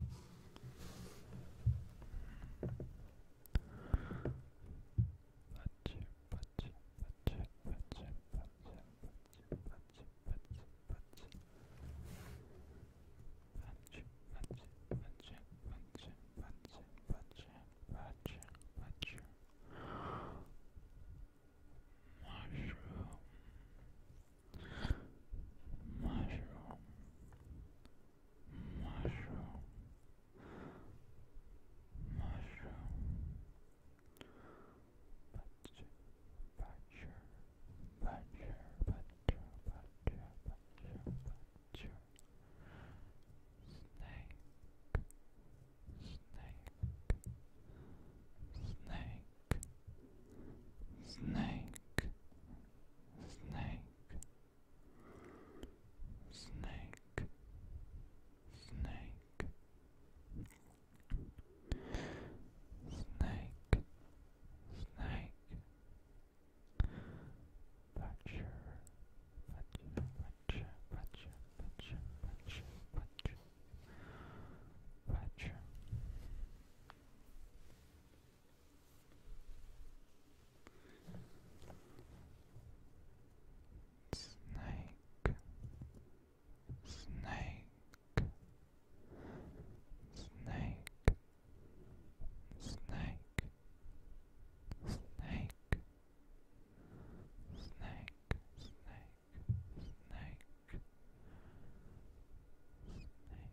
mushroom mushroom, mushroom, mushroom, butcher, butcher, butcher, butcher, butcher, butcher, butcher, snake, snake, snake. Snake, snake, snake, snake, snake. Snake, snake, butcher, butcher, butcher, butcher, butcher, butcher, butcher, Snake, snake, snake, snake, snake, snake, snake, snake. Snake. But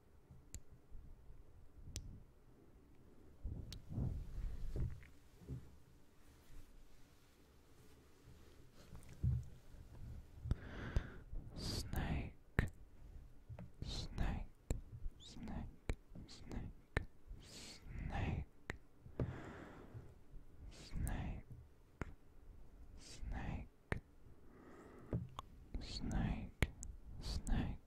Snake, snake, snake, snake, snake, snake, snake, snake, snake,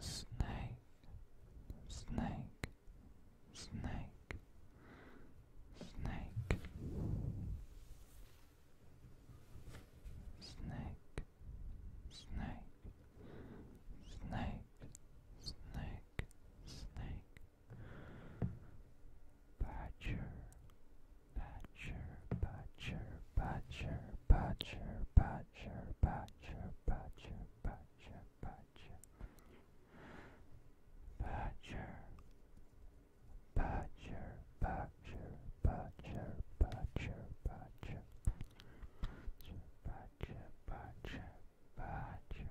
snake, snake, snake, snake, snake, snake, snake, snake, snake, badger, Patcher, patcher, patcher, patcher, patcher, patcher, patcher, patcher, patcher. Patcher, patcher, patcher, patcher, patcher, patcher. Patcher, patcher, patcher, patcher. Badger,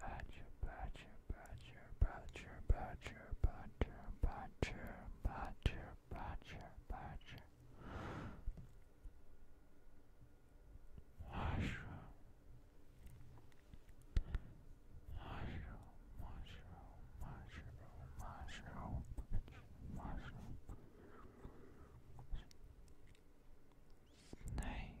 badger, badger, badger, badger, badger, badger, badger, badger, badger, badger. Mushroom, mushroom, mushroom, mushroom, mushroom, mushroom. Snake,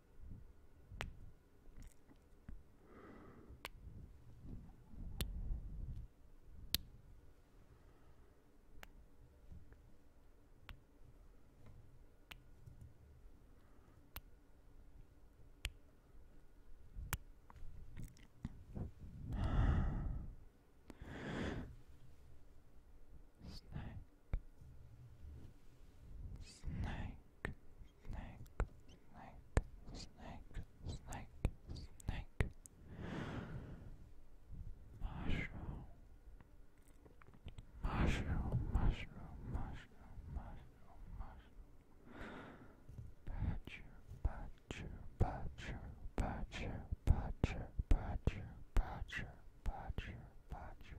Snake, snake, snake, snake, snake, snake, mushroom, mushroom, mushroom, mushroom, mushroom, mushroom, badger, badger, badger, badger, badger, badger, badger, badger, badger.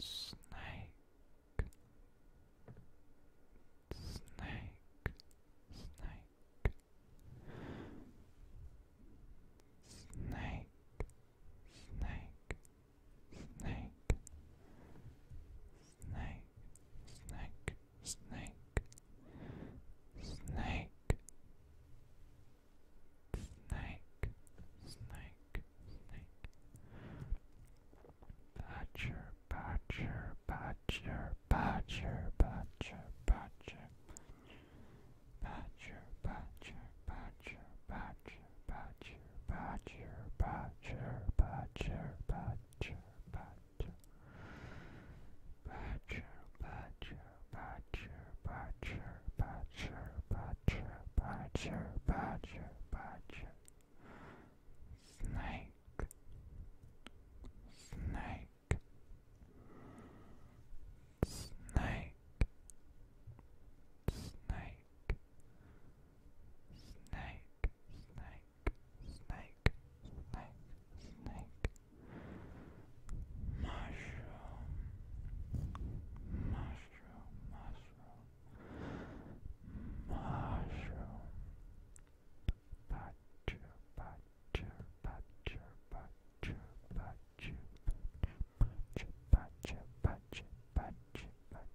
Snake, snake, snake, snake, snake, snake, snake, snake, snake, snake, snake, snake, snake. Badger, badger, badger, badger, badger, badger. Badger, badger, badger, badger, badger, badger, badger, badger, badger, badger badger, badger, badger, badger, badger, badger, badger, badger, badger, snake, snake, snake, snake, snake snake, snake, snake, snake. Mushroom, mushroom, mushroom, mushroom. Butcher, butcher, butcher, butcher, butcher, butcher, butcher, butcher, butcher, butcher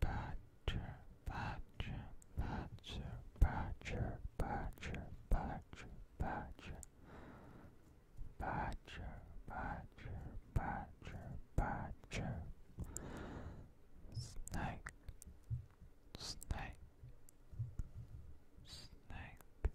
Badger, badger, badger, badger, badger, badger, badger, badger, badger, badger, snake, snake, snake,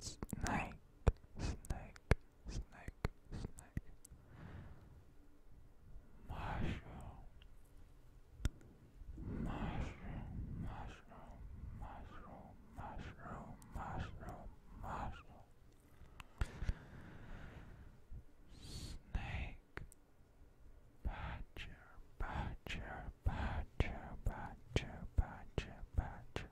Snake, snake, snake, snake. Mushroom, mushroom, mushroom, mushroom, mushroom, mushroom, mushroom. Snake, badger, badger, badger, badger, badger, badger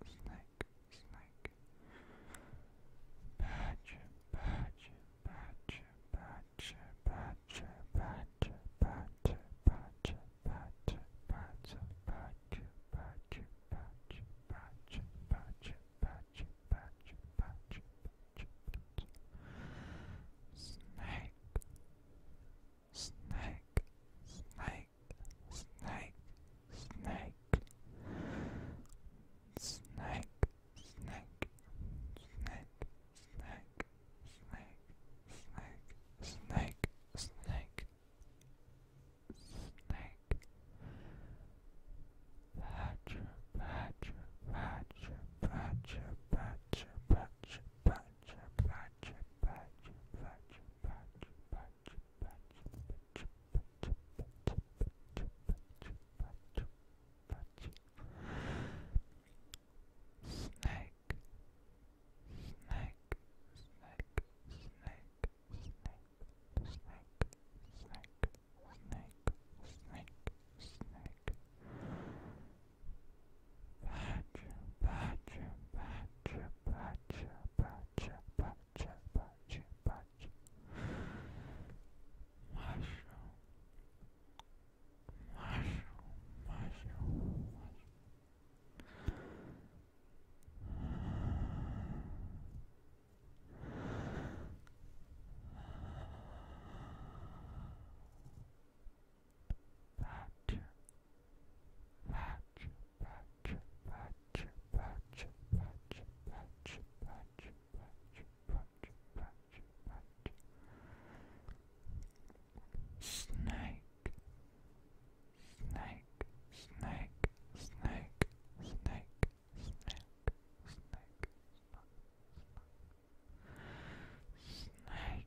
snake, snake. Patch, patch, patch, patch, patch, patch, patch, patch, patch, patch, patch, patch, patch, patch, patch, patch, patch, snake, snake, snake snake, snake, snake, snake, snake, snake, snake, snake, snake, snake, snake, snake, badger, badger, badger, badger, badger, badger, badger, badger, badger, badger, badger, badger, Snake, snake, snake, snake, snake, snake, snake, snake, snake, snake. Badger, badger, badger, badger, patch, patch, patch, patch, patch. Mushroom, mushroom, mushroom, mushroom. Patch patch, patch, patch, patch, patch, patch, patch, patch, patch, patch, patch. Snake, snake, snake, snake, snake, snake, snake, snake, snake. Snake,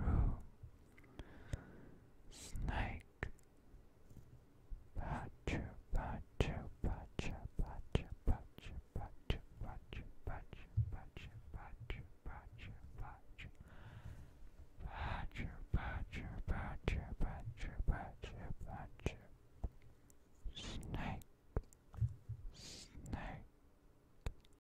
room. Snake. Pacha, pacha, pacha, pacha, pacha, pacha, pacha, pacha, pacha, pacha, pacha, pacha. Pacha, pacha, pacha, pacha, pacha, Snake. Snake.